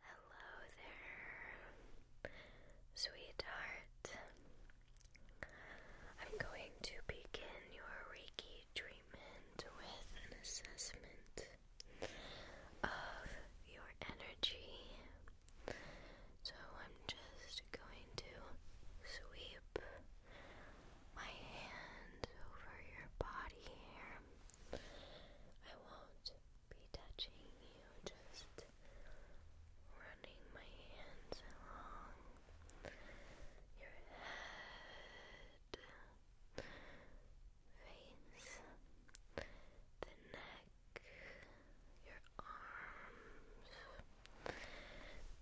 Hello there, sweetheart. I'm going to begin your Reiki treatment with an assessment of your energy. So I'm just going to sweep my hands over your body here. I won't be touching you, just running my hands along your head, face, the neck, your arms,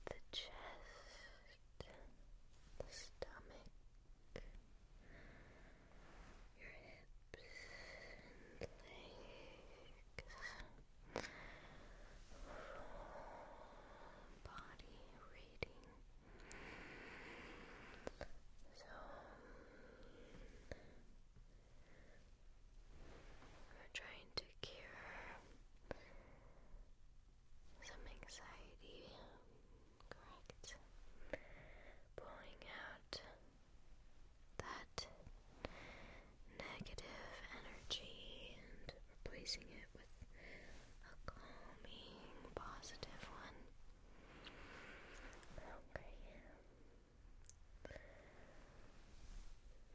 the chest, the stomach your hips and legs, body reading. So we're trying to cure some anxiety Correct. Pulling out that negative energy and replacing it with a calming, positive one. Okay.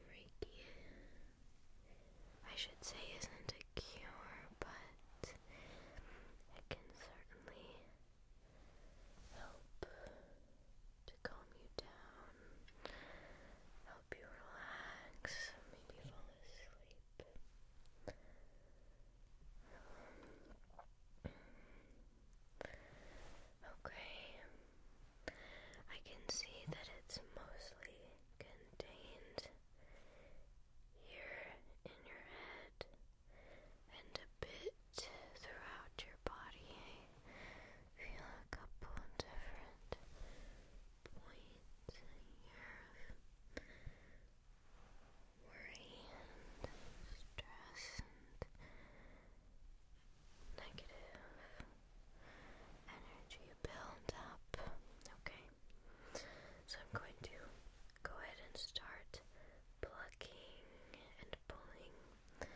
Reiki, I should say, isn't a cure, but it can certainly help to calm you down, help you relax, maybe fall asleep. okay, I can see that it's mostly contained here in your head and a bit throughout your body. feel a couple different points here worry and stress and negative energy build up. Okay, so I'm going to go ahead and start plucking and at pulling this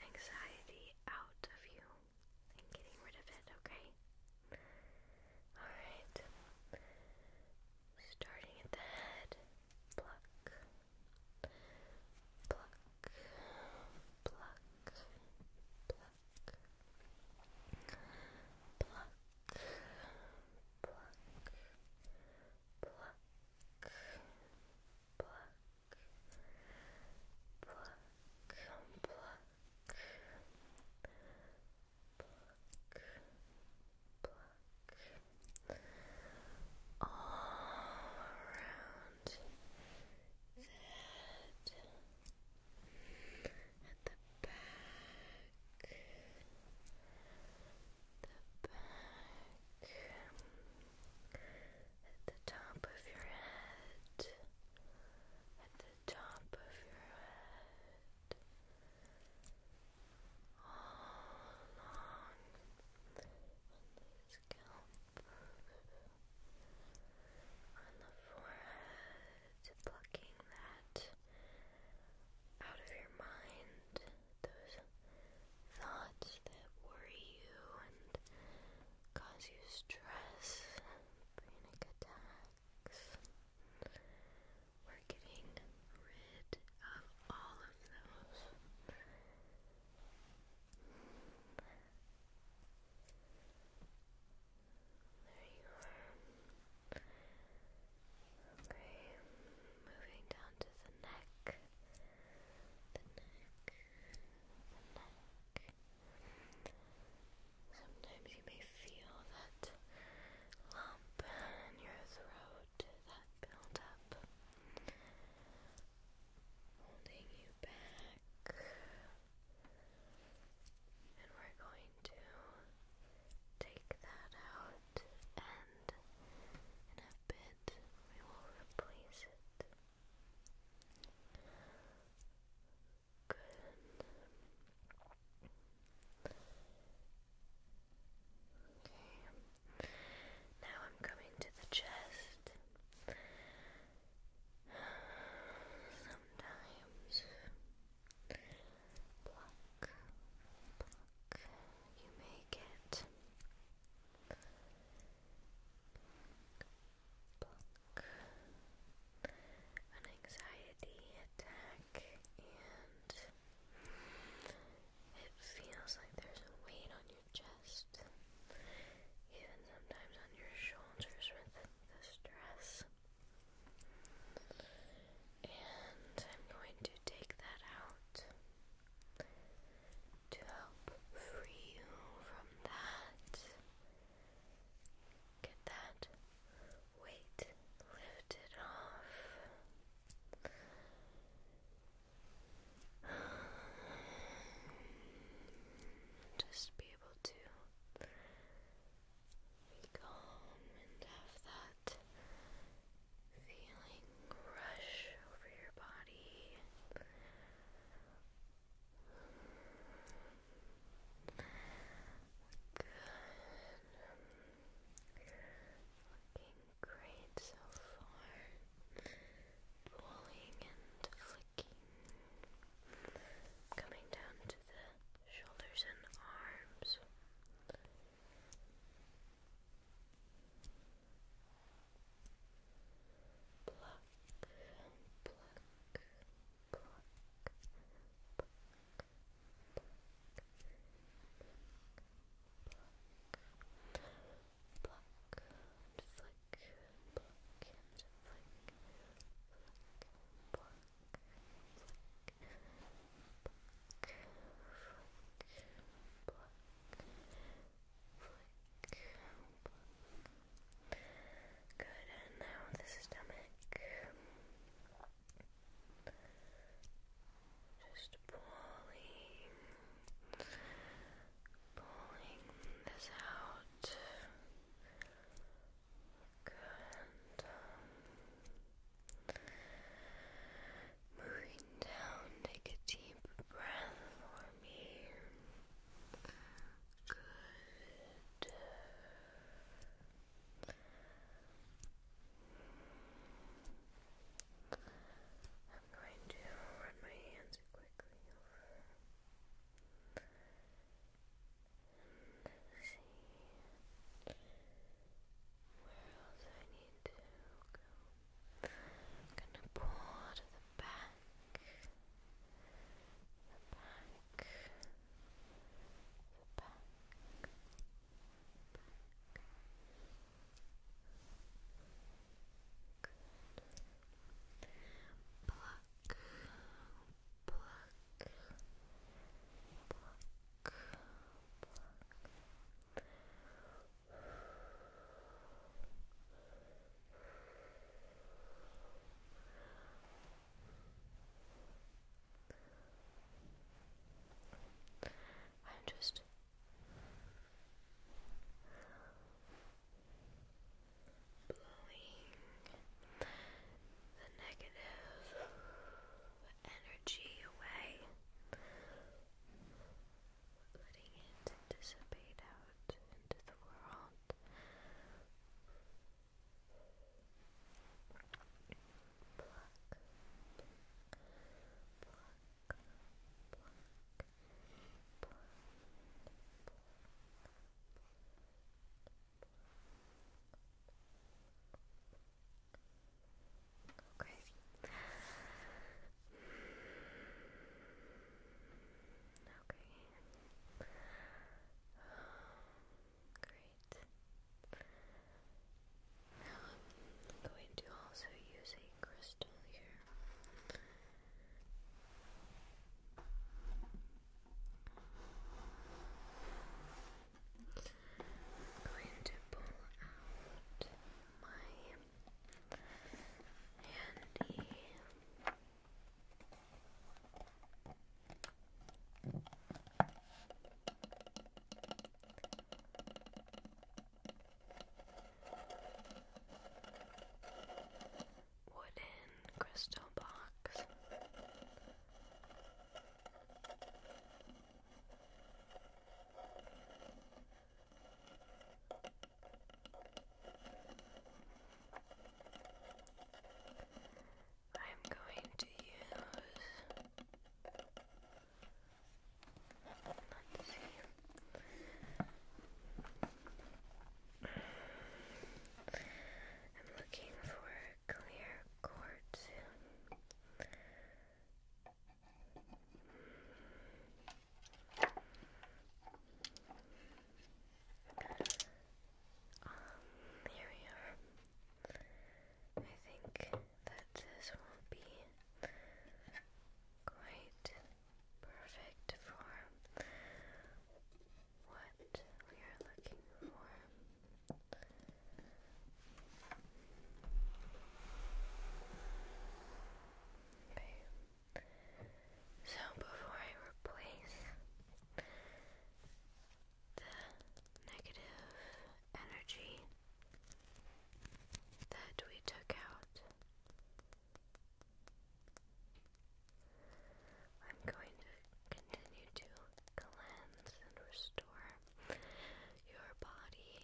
anxiety out of you and getting rid of it, okay? Alright. Starting at the head. Pluck. Pluck. Pluck. Pluck. Pluck, pluck, Black, pluck, pluck, pluck, pluck, pluck, all around at the back, the back, at the top of your head, at the top of your head, all along on the scalp, on the forehead, plucking that out of your mind those thoughts that worry you and cause you stress, panic attacks. We're getting rid of all of those. There you are. Okay, moving down to the neck, the neck, the neck. Sometimes you may feel that lump in your throat that build up, holding you back. And we're going to take that out and in a bit we will replace it. Good. Okay. Now I'm coming to the chest. Sometimes you make it. An anxiety attack, and it feels like there's a weight on your chest, even sometimes on your shoulders with the stress. And I'm going to take that out to help free you from that. Get that weight lifted off. Just be able to be calm and have that Feeling rush over your body. Good. Looking great so far. Pulling and flicking. Coming down to the shoulders and arms. Pluck, pluck, pluck, pluck, pluck, pluck, and flick, pluck and flick, pluck, pluck, flick, Flick, flick, Good, and now the stomach. Just pulling, pulling this out. Good. Moving down, take a deep breath for me. Good. I'm going to run my hands quickly over and see where else I need to go. I'm gonna pour to the back, the back, the back, back. Good. Pluck, pluck, pluck, I'm just blowing the negative energy away letting it dissipate out into the world. Go crazy. Okay. Great. Now I'm going to also use a crystal here. I'm going to pull out my handy. Wooden crystal box. I'm going to use let's see I'm looking for clear quartz. Um, here we are. I think that this will be quite perfect for what we are looking for. Okay. So before I replace the negative energy that we took out, I'm going to continue to cleanse and restore your body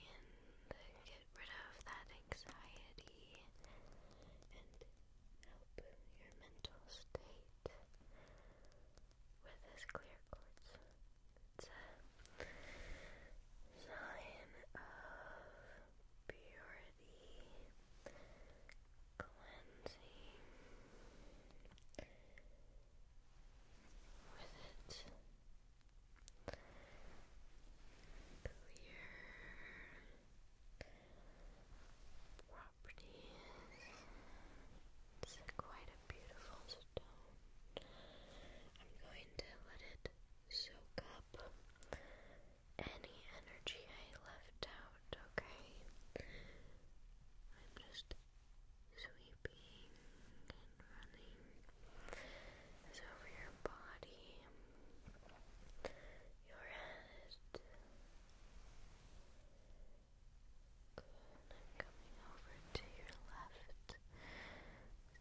and get rid of that anxiety and help your mental state with this clear quartz. It's a sign of purity, cleansing. With it, clear properties. It's quite a beautiful stone. I'm going to let it soak up any energy I left out, okay? I'm just sweeping and running is over your body, your head, coming over to your left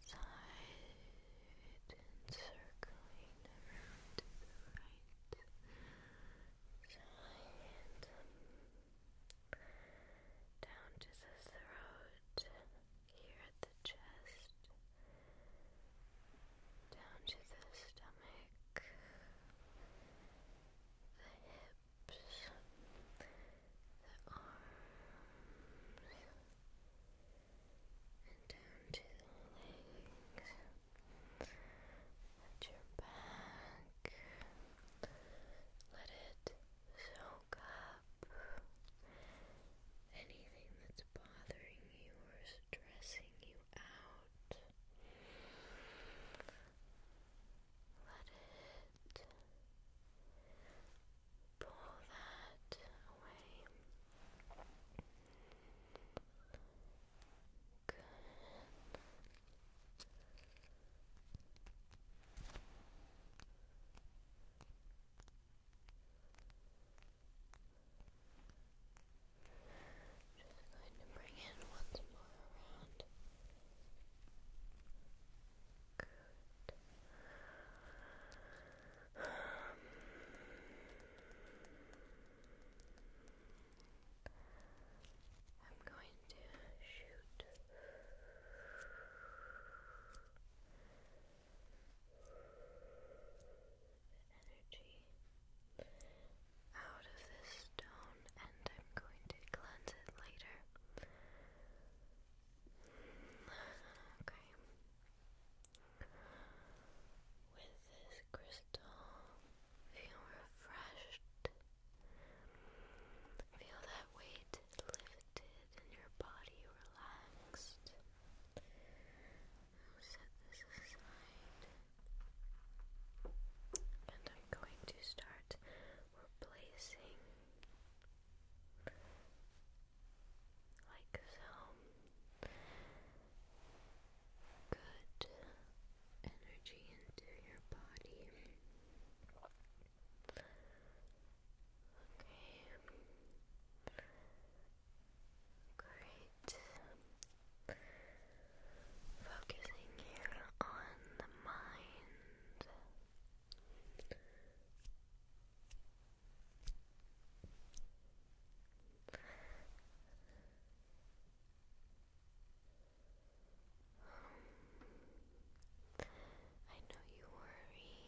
side and circling around the right side. Down to the throat, here at the chest, down to the stomach, the hips, the arms, and down to the legs, at your back. Let it so woke up, anything that's bothering you or stressing you out, let it pull that away. Good. Just going to bring in once more around. Good. I'm going to shoot energy out of this stone, and I'm going to cleanse it later. Okay. With this crystal, feel refreshed. Feel that weight lifted and your body relaxed. set this aside. And I'm going to start replacing like so good energy into your body. Okay. Great. Focusing here on the mind. I know you worry,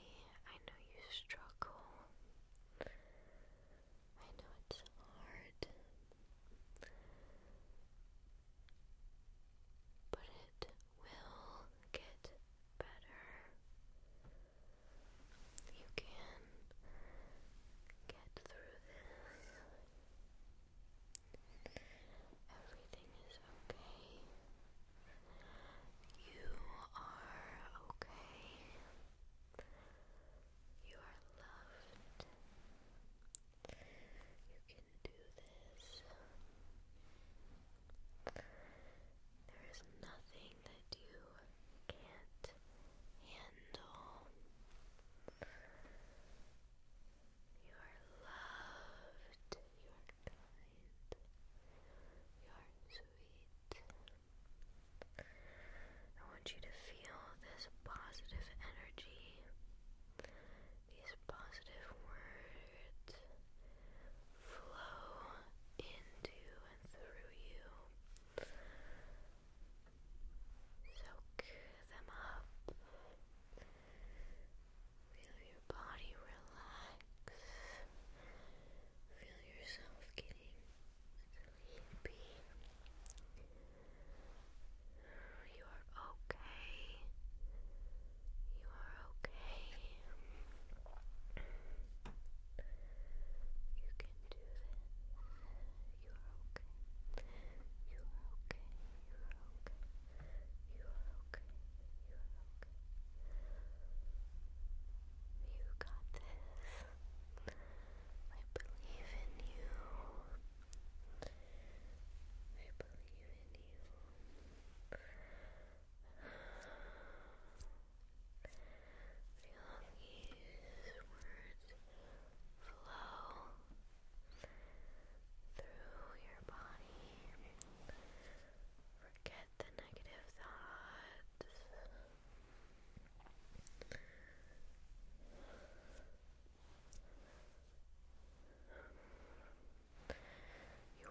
I know you struggle. I know it's hard, but it will get better. You can get through this. Everything is okay. You are okay. You are loved. You can do this. There is nothing that you can't handle. You are loved. You are kind. You are sweet. I want you to feel this positive energy, these positive words flow into and through you. Soak them up. Feel your body relax. Feel yourself sleepy. You are okay. You are okay. You can do this. You are okay. You are okay. You are okay. You are okay. You got this. I believe in you. I believe in you. Feel these words flow through your body. Forget the negative thoughts. You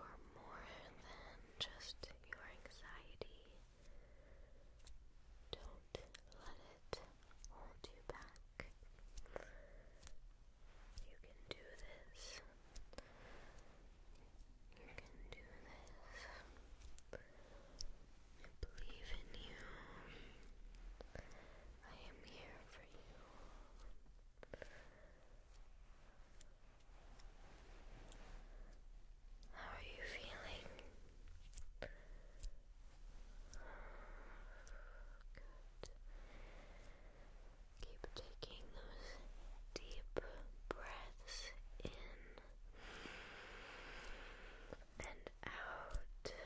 are more than just your anxiety. Don't let it hold you back. You can do this. You can do this. I believe in you. I am here for you. How are you feeling? Good. Keep taking those deep breaths in and out. Okay.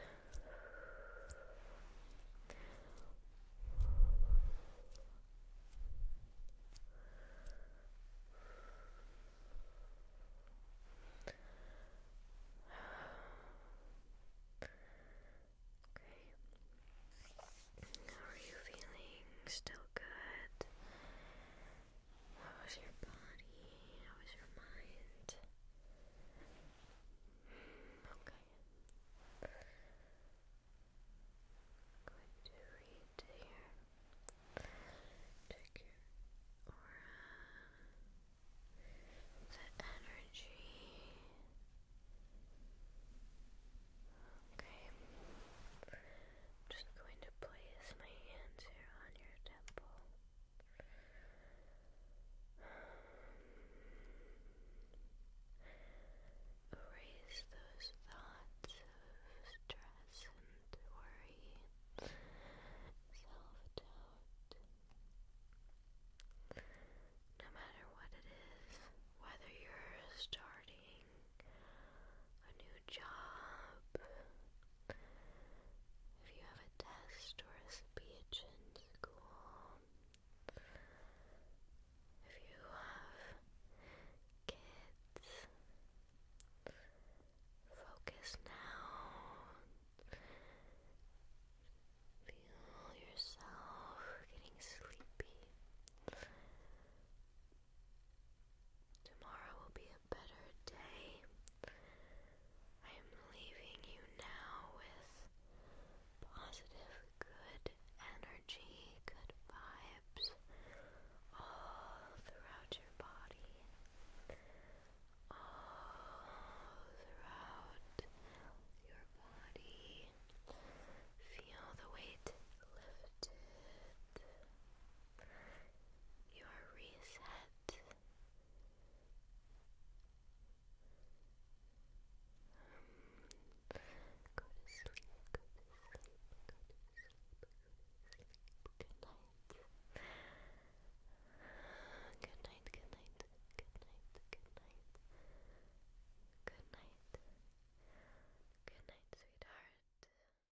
How are you feeling? Still good? How was your body? How was your mind? Okay. going to read here. Check your aura. The energy. Okay. I'm just going to place my hands here on your temple. erase those thoughts of stress and worry, self-doubt. No matter what it is, whether you're starting a new job, if you have a test or a speech in school, if you have kids, focus now. Feel yourself getting sleepy. Tomorrow will be a better day. I am leaving you now with positive, good energy, good vibes all throughout your body, all throughout your body. Feel the weight lifted you are reset. Um, go to sleep, go to sleep, go to sleep, sleep. Good night. Good night, good night, good night, good night. Good night. Good night, sweetheart.